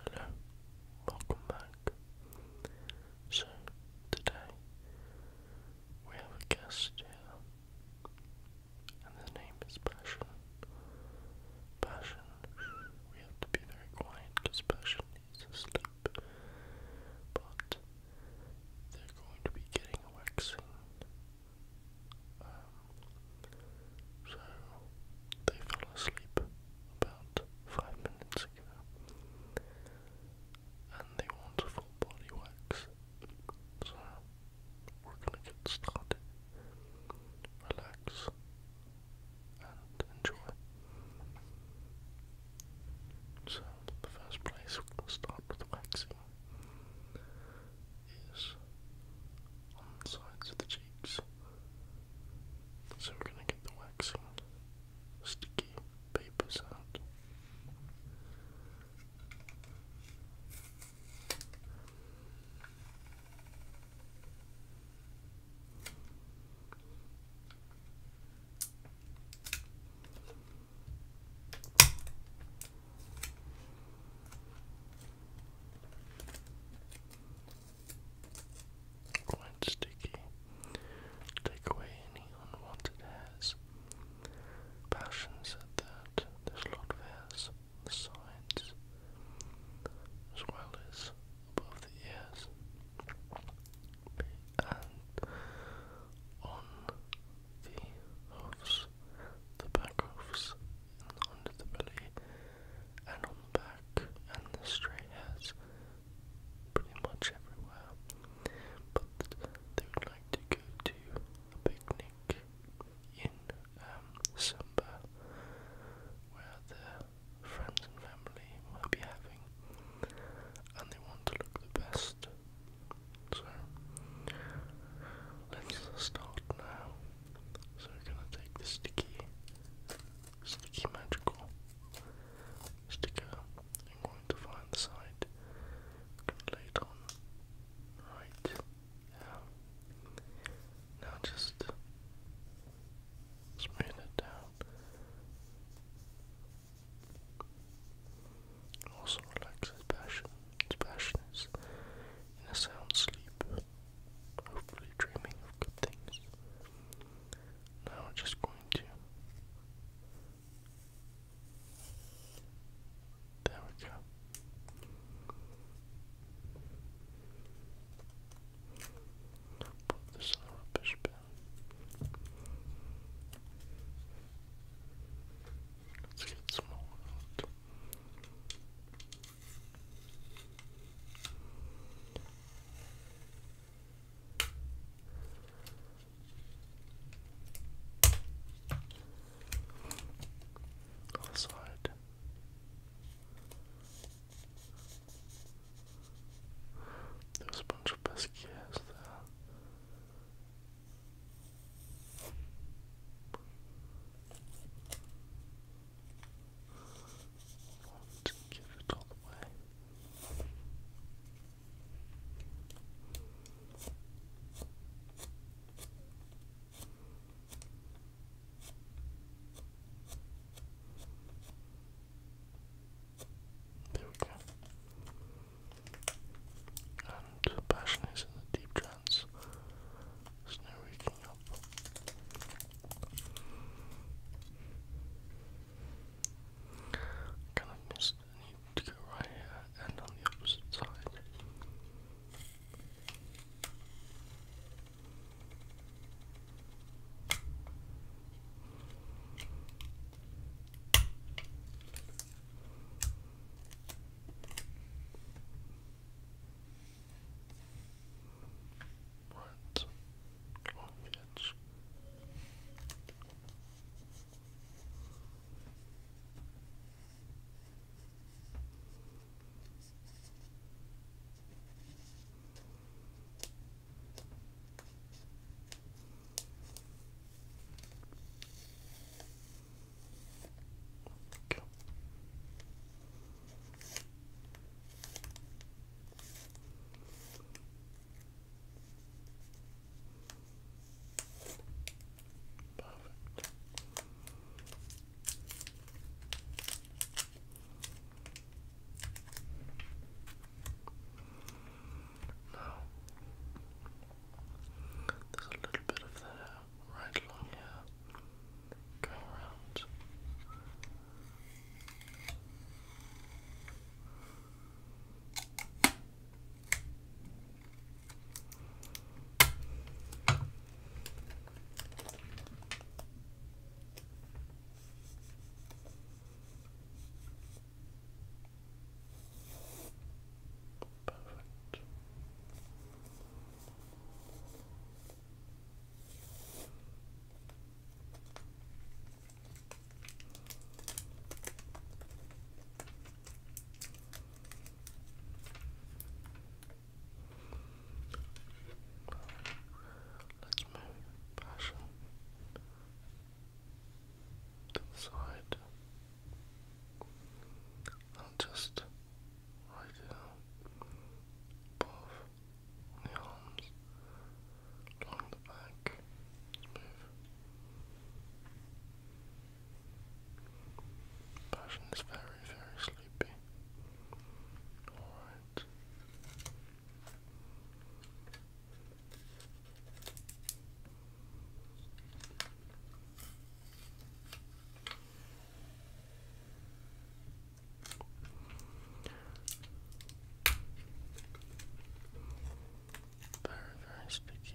Hello, welcome back. So, today we have a guest and the name is Passion. Passion, we have to be very quiet because Passion needs to sleep, but they're going to be getting a waxing. Um, so they fell asleep about five minutes ago, and they want a full body wax. So we're gonna get started. Relax and enjoy. So the first place we're gonna start with waxing is on the sides of the cheeks. So we're gonna get the waxing sticky papers out. When oh, sticky, take away any unwanted hairs. Passion said that there's a lot of hairs on the sides, as well as above the ears, and on the hoofs, the back hoofs, and under the belly and on the back, and the stray hairs pretty much everywhere. But they would like to go to a picnic in um, Samba, where their friends and family will be having, and they want to look the best. So let's start now. So we're gonna take the sticky Sticky Magical sticker. I'm going to find the side. Lay it on. Right. Yeah. Now just smooth it down. Also relaxes passion. Passion is in a sound sleep hopefully dreaming of good things. Now I'm just going to. There we go. Put this in the rubbish bin. Let's get some more out. Other side. a bunch of pesquiers there. Let's give it all away. There we go. And passion is in the deep trance. There's no waking up. Kind of missed. need to go right here and on the opposite side. Right. Oh, yes. Okay. Perfect. Now, there's a little bit of that right along Go around. Perfect. Let's move passion to the side and just right here above the arms, along the back, Passion is very, very sleepy. Alright. Very, very sticky.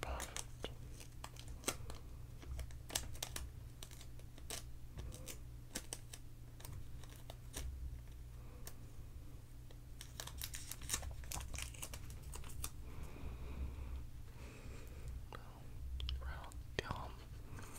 Perfect. Round the arm. Perfect.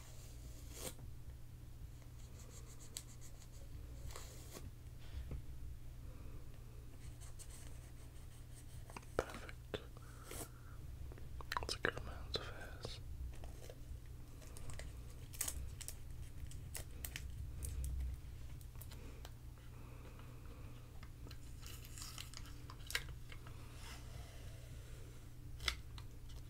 Perfect. That's a good amount of hairs.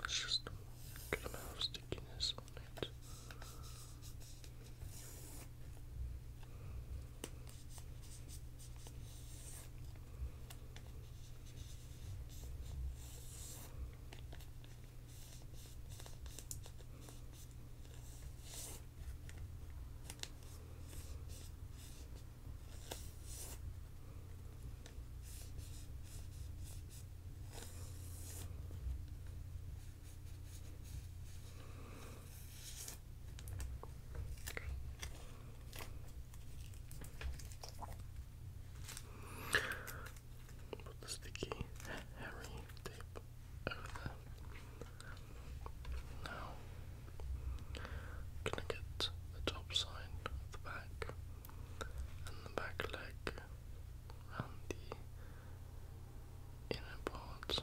Let's just get a amount of stickiness on it. Put the sticky hairy tape over there. Now, gonna get the top side of the back and the back leg around the inner part.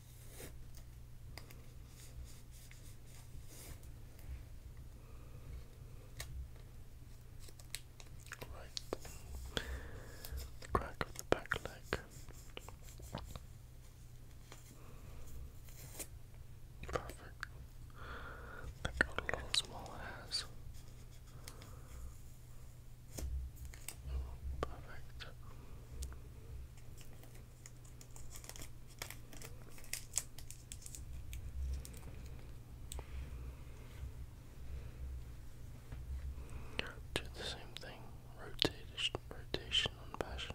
Right. The crack of the back leg. Perfect. a little small hairs. Perfect. Do the same thing. Rotation, rotation on passion.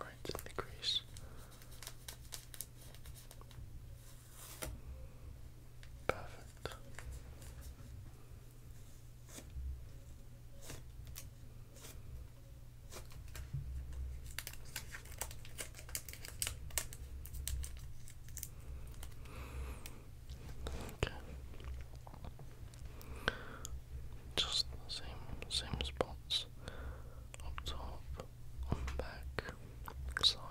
Right in Perfect. Okay. Just the same same spots up top, on the back, side.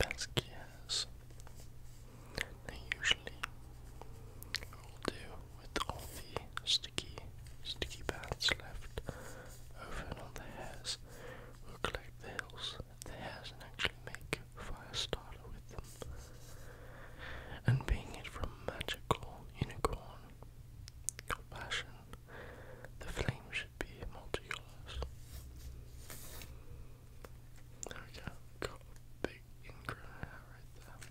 Basquiat's now usually we'll with all the sticky sticky bands left over and on the hairs. we collect the the hairs and actually make a fire starter with them. And being it from magical unicorn fashion, the flame should be multicolours. Okay, got a big ingrown hair right there.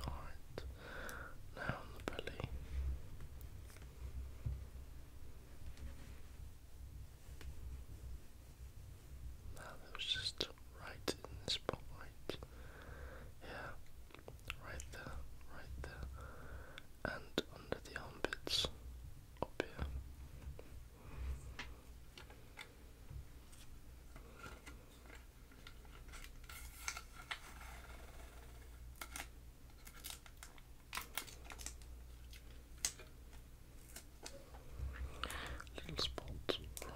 Alright, now on the belly. Now that just right in the spot, right? Yeah, right there, right there, and under the armpits up here. Little spot right there. And one, two, three.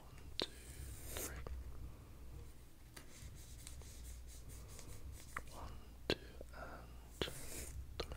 One, two, three. One, two, and three.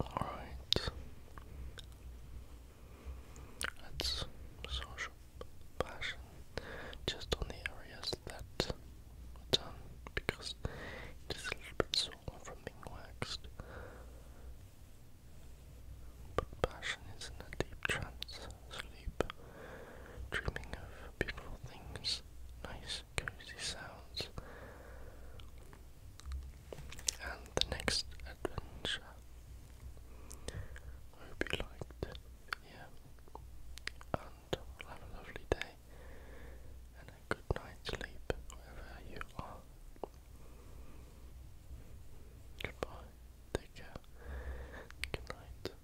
Alright. That's social passion just on the areas that were done because it is a little bit sore from being waxed. But passion is in a deep trance, sleep, dreaming of beautiful things, nice cozy sounds. And the next adventure. I hope you liked Yeah. And have a lovely day and a good night's sleep wherever you are. Goodbye. Take care. Good night.